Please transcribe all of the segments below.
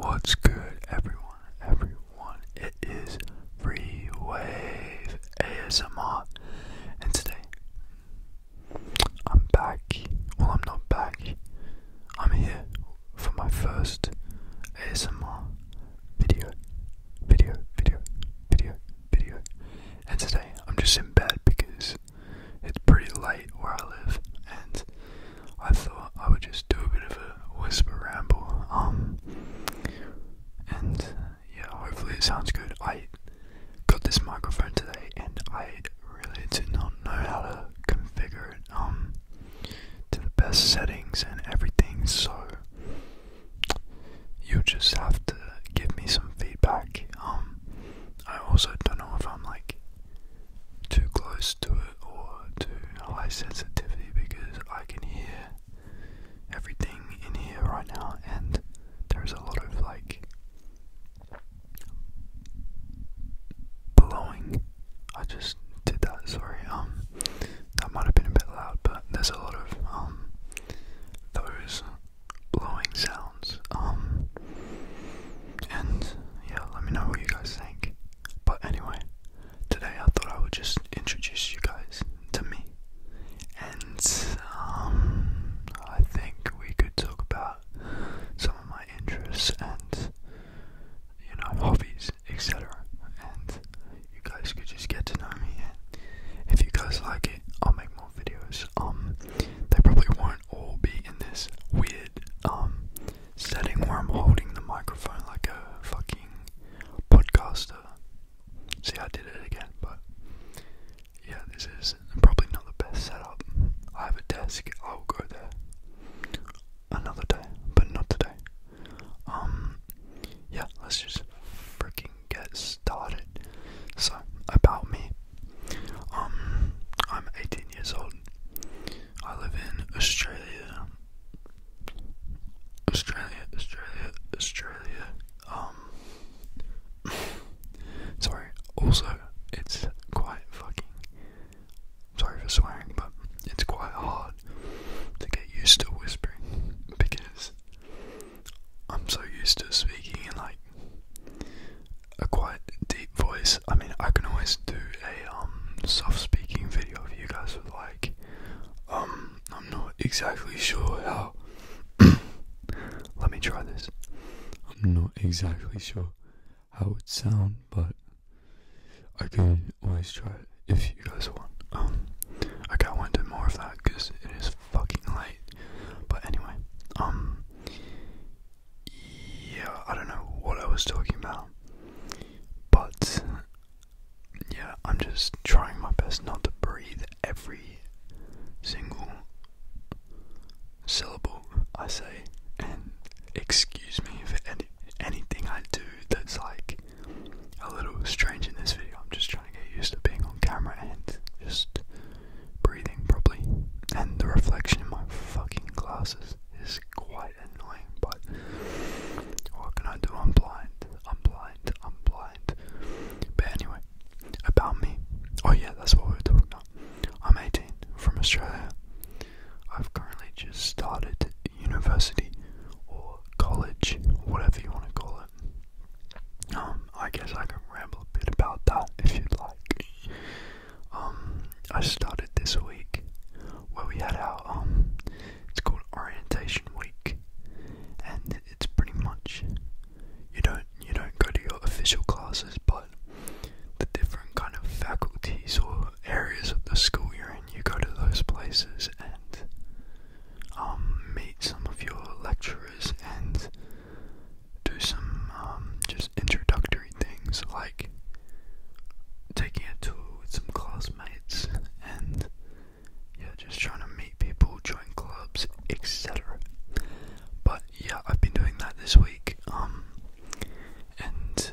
What's good, everyone? Everyone, it is Free Wave ASMR, and today I'm back. Well, I'm not back. I'm here for my first ASMR video, video, video, video, video. And today I'm just in bed because it's pretty late where I live, and I thought I would just do a bit of a whisper ramble. Um, and yeah, hopefully it sounds good. I got this microphone today, and I really do not know how to configure it um, to the best settings and everything. So you just have to give me some feedback. Um, I also don't know if I'm like too close to it or too high sensitivity because I can hear everything in here right now and there's a lot of like blowing. I just did that, sorry. Um that might have been a bit loud, but there's a lot of um those blowing sounds. Um and yeah, let me know what you guys think. But anyway, today I thought I would just introduce you guys to me. And um, I think we could talk about some of my interests and, you know, hobbies, etc. And you guys could just get to know me. if you guys like it, I'll make more videos. Um, they probably won't all be in this weird, um, setting where I'm holding the microphone like a fucking podcaster. See, I did it again, but yeah, this is probably not the best setup. I have a desk, I'll go there another day, but not today. Um, yeah, let's just freaking get started. So, about me. Um, I'm 18 years old. I live in Australia. Australia, Australia, Australia. Um. sorry. Also, it's quite fucking. Sorry for swearing, but it's quite hard to get used to whispering because I'm so used to speaking in like a quite deep voice. I mean, I can always do a um, soft speaking video if you guys would like. Um, I'm not exactly sure how. Let me try this. I'm not exactly sure how it sound, but I can always try it if you guys want. Um, I won't do more of that because it is fucking late. But anyway, um, yeah, I don't know what I was talking about, but yeah, I'm just trying my best not to breathe every single syllable I say, and excuse me for anything I do that's like a little strange in this video. I'm just trying to get used to being on camera and just breathing properly, and the reflection in my fucking glasses is quite annoying, but what can I do? I'm blind. I'm blind. I'm blind. But anyway, about me. Oh yeah, that's what we were talking about. I'm 18 from Australia. I've currently just started university or college, whatever you want to call it. Um, I guess I can ramble a bit about that if you'd like um, I started this week where we had our um, it's called orientation week, and it's pretty much you don't you don't go to your official classes, but the different kind of faculties or areas of the school you're in, you go to those places and um, meet some of your lecturers and do some um, just introductory things like taking a tour with some classmates and yeah, just trying to meet people, join clubs, etc. But yeah, I've been doing that this week. Um, and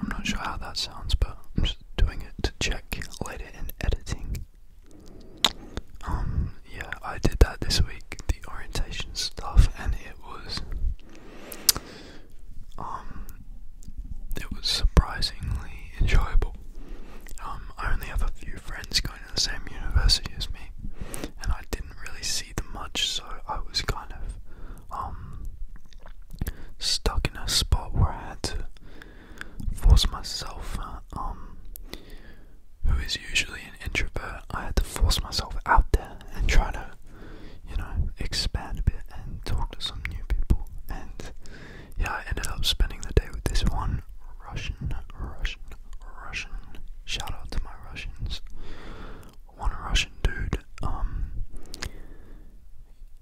I'm not sure how that sounds, but I'm just doing it to check later in editing. Um, yeah, I did that this week orientation stuff, and it was, um, it was surprisingly enjoyable. Um, I only have a few friends going to the same university as me, and I didn't really see them much, so I was kind of, um, stuck in a spot where I had to force myself, uh, who is usually introvert, I had to force myself out there and try to, you know, expand a bit and talk to some new people. And yeah, I ended up spending the day with this one Russian, Russian, Russian. Shout out to my Russians. One Russian dude. Um.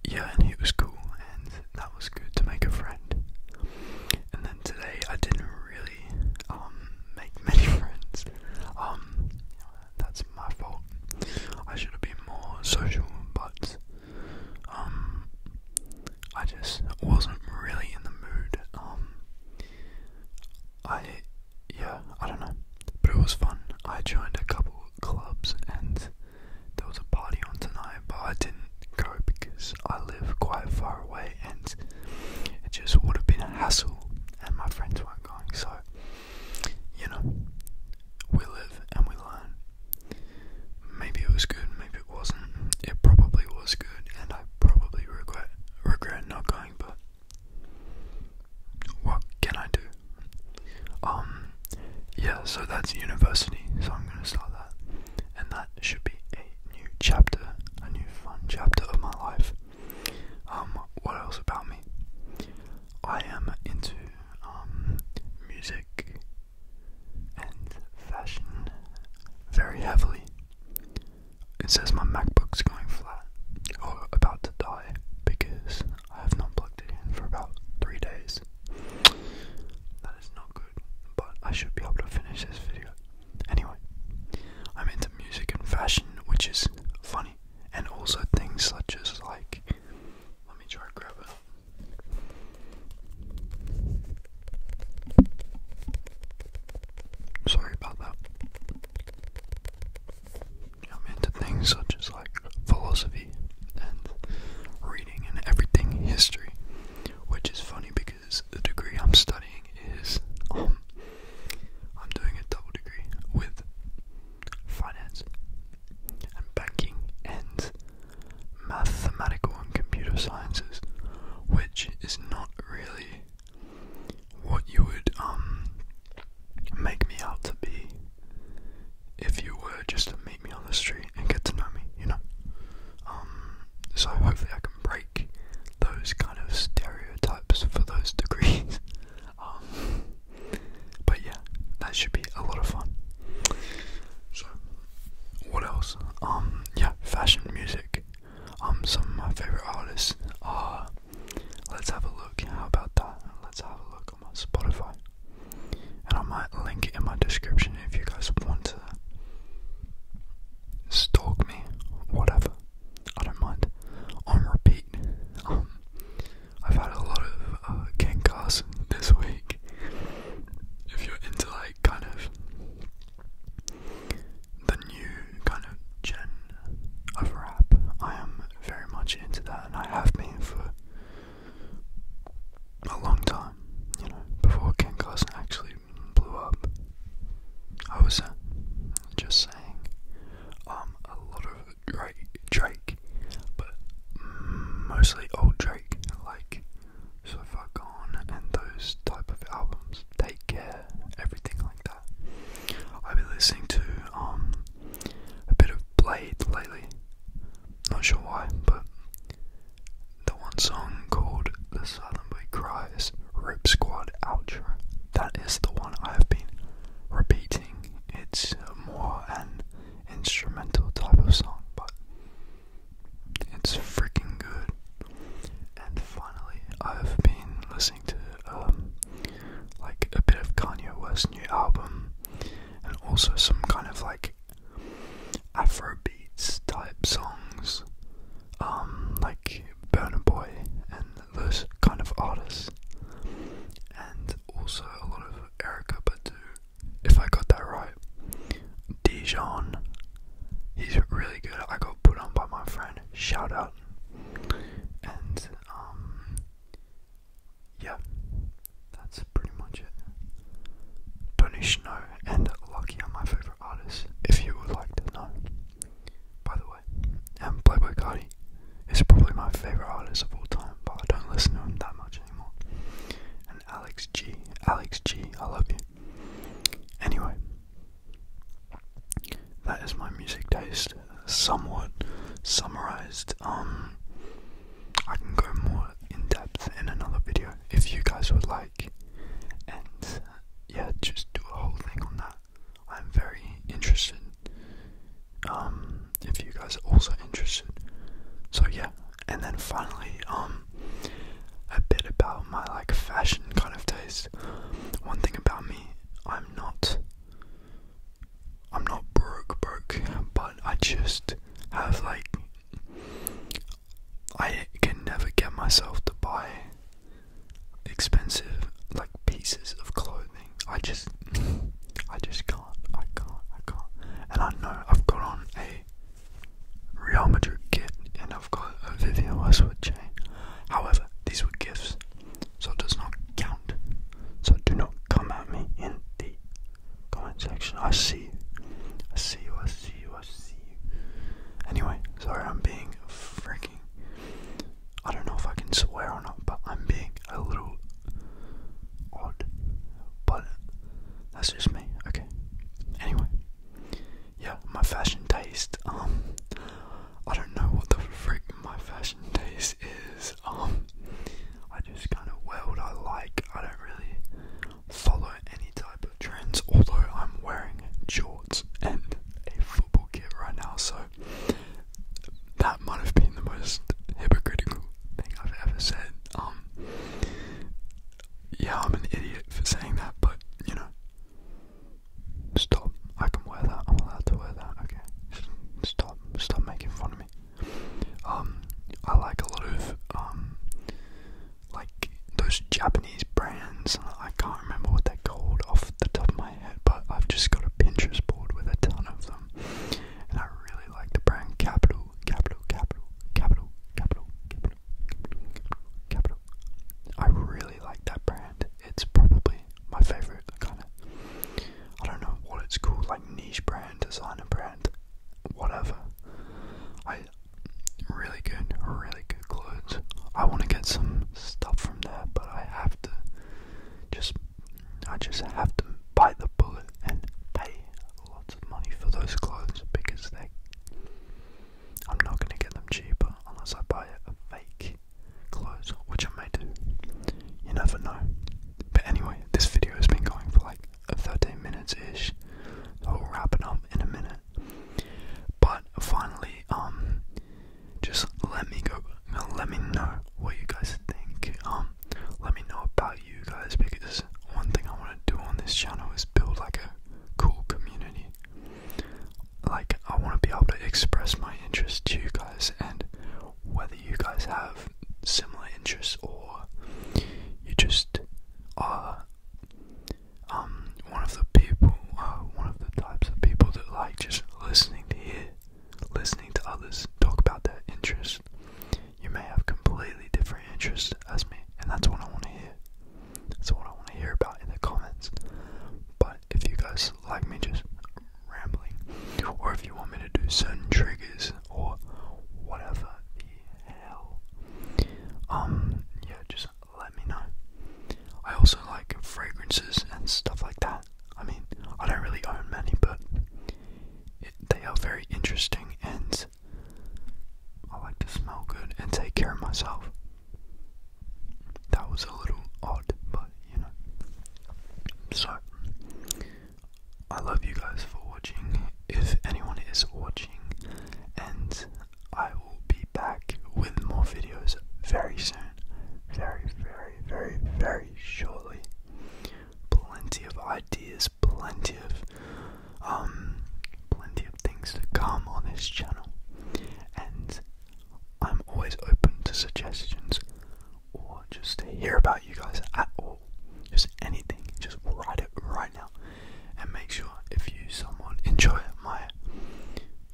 Yeah, and he was cool, and that was good to make a friend. And then today, I didn't really um, make many friends. Um, that's my fault. I should have been more social, but um, I just wasn't really in the mood. Um, I yeah, I don't know, but it was fun. I joined a couple clubs and there was a party on tonight, but I didn't go because I live quite far away and it just would have been a hassle, and my friends weren't going, so you know, we live and we learn. Maybe it was good, maybe it wasn't. It probably was good, and I probably regret regret not going. But what can I do? Um, yeah. So that's university. So I'm gonna start that, and that should be a new chapter, a new fun chapter of my life. Um, what else about me? I am into um, music and fashion very heavily. It says my MacBook's going flat or about to die because I have not plugged it in for about three days. That is not good, but I should be able to finish this video. Anyway, I'm into music and fashion, which is funny and also things such as like let me try and grab it. Sorry about that. I'm into things such as like philosophy and reading and everything history, which is funny because the degree I'm studying is um, I'm doing a double degree with finance and banking and mathematical and computer sciences, which is not really what you would um make me out to be if you were just to meet me on the street and get to know me, you know. Um so hopefully I can break those kind of stereotypes for those degrees um, but yeah, that should be a lot of fun. So, what else? Um, yeah, fashion music. Um, some of my favorite artists. Uh, let's have a look. How about that? Let's have a look on my Spotify. And I might link it in my description if you guys want to stalk me, whatever. I don't mind. On repeat. Um, I've had a lot of uh, Ken Carson this week. If you're into like kind of the new kind of gen of rap, I am very much into that, and I have been for a long time. You know, before Ken Carson actually blew up, I was just um, a lot of Drake, Drake, but mostly old Drake, like So Far Gone and those type of albums. Take Care, everything like that. I've been listening to um a bit of Blade lately. Not sure why, but the one song called "The Silent Boy Cries" Rip Squad outro. That is the one I have been repeating. It's more an instrumental type of song, but it's freaking good. And finally, I've been listening to um, like a bit of Kanye West's new album, and also some kind of like Afro beats type songs, um, like Burner Boy and those kind of artists. And also a lot of Erica Badu, if I got that right. Dijon, he's really good. I got put on by my friend, shout out. And, um, yeah, that's pretty much it. Tony Snow and Lucky are my favorite artists, if you would like to know. By the way way. Um, and Playboy Cardi is probably my favorite artist of all time, but I don't listen to him that much anymore. And Alex G, Alex G, I love you. Anyway, that is my music taste, somewhat summarized. Um, I can go more in depth in another video if you guys would like, and uh, yeah, just do a whole thing on that. I'm very interested. Um, if you guys are also interested. So yeah, and then finally, um, a bit about my like fashion kind of taste. One thing about me, I'm not, I'm not broke, broke, but I just have like, I can never get myself to buy expensive like pieces of clothing. I just I just can't. I can't. I can't. And I know I've got on a Real Madrid kit and I've got a Vivian Westwood chain. However, these were gifts, so it does not count. So do not come at me in the comment section. I see you. I see you. I see you. I see you. Anyway, sorry, I'm being freaking I don't know if I can swear or not, but I'm being a little odd. But that's just me. Okay. Anyway, yeah, my fashion taste. Um, I don't know what the freak my fashion taste is. Um, I just kind of wear what I like. I don't really follow any type of trends. Although I'm wearing shorts and a football kit right now, so that might have been the most hypocritical thing I've ever said. Um, yeah, I'm an idiot for saying that, but you know, stop. I can wear that. I'm allowed to wear that. Okay, stop. Stop making fun of me. Um, I like a lot of um, like those Japanese brands. I can't remember what they're called off the top of my but I've just got a Pinterest board with a ton of them. And I really like the brand Capital, Capital, Capital, Capital, Capital, Capital, Capital. I really like that brand. It's probably my favorite kind of, I don't know what it's called, like niche brand, designer brand, whatever. I really good, really good clothes. I want to get some stuff from there, but I have to just I just have to bite the bullet and pay lots of money for those clothes because they I'm not gonna get them cheaper unless I buy a fake clothes, which I may do. You never know. But anyway, this video has been going for like 13 minutes ish. I'll wrap it up in a minute. But finally, um just let me go let me know what you guys think um let me know about you guys because one thing I want to do on this channel is build like a cool community like I want to be able to express my interest to you guys and whether you guys have similar interests or you just are um one of the people uh, one of the types of people that like just listening to hear listening to others talk about their interests. You may have completely different interests as me, and that's what I want to hear. That's what I want to hear about in the comments. But if you guys like me just rambling, or if you want me to do certain triggers or whatever the hell, um, yeah, just let me know. I also like fragrances and stuff like that. I mean, I don't really own many, but they are very interesting and I like to smell good and take care of myself. That was a little odd, but you know. So, I love you guys for watching. If anyone is watching, and I will be back with more videos very soon very, very, very, very shortly. Plenty of ideas, plenty of um plenty of things to come on this channel. And I'm always open to suggestions or just to hear about you guys at all. Just anything. Just write it right now. And make sure if you someone enjoy it, my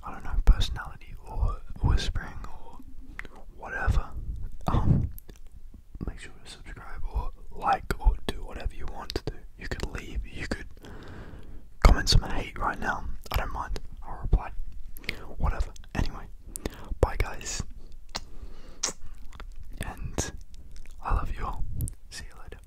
I don't know, personality or whispering or whatever, um, make sure to subscribe or like or do whatever you want to do. You could leave, you could comment some hate right now. I don't mind. I'll reply. Whatever. Anyway, bye guys. And I love you all. See you later.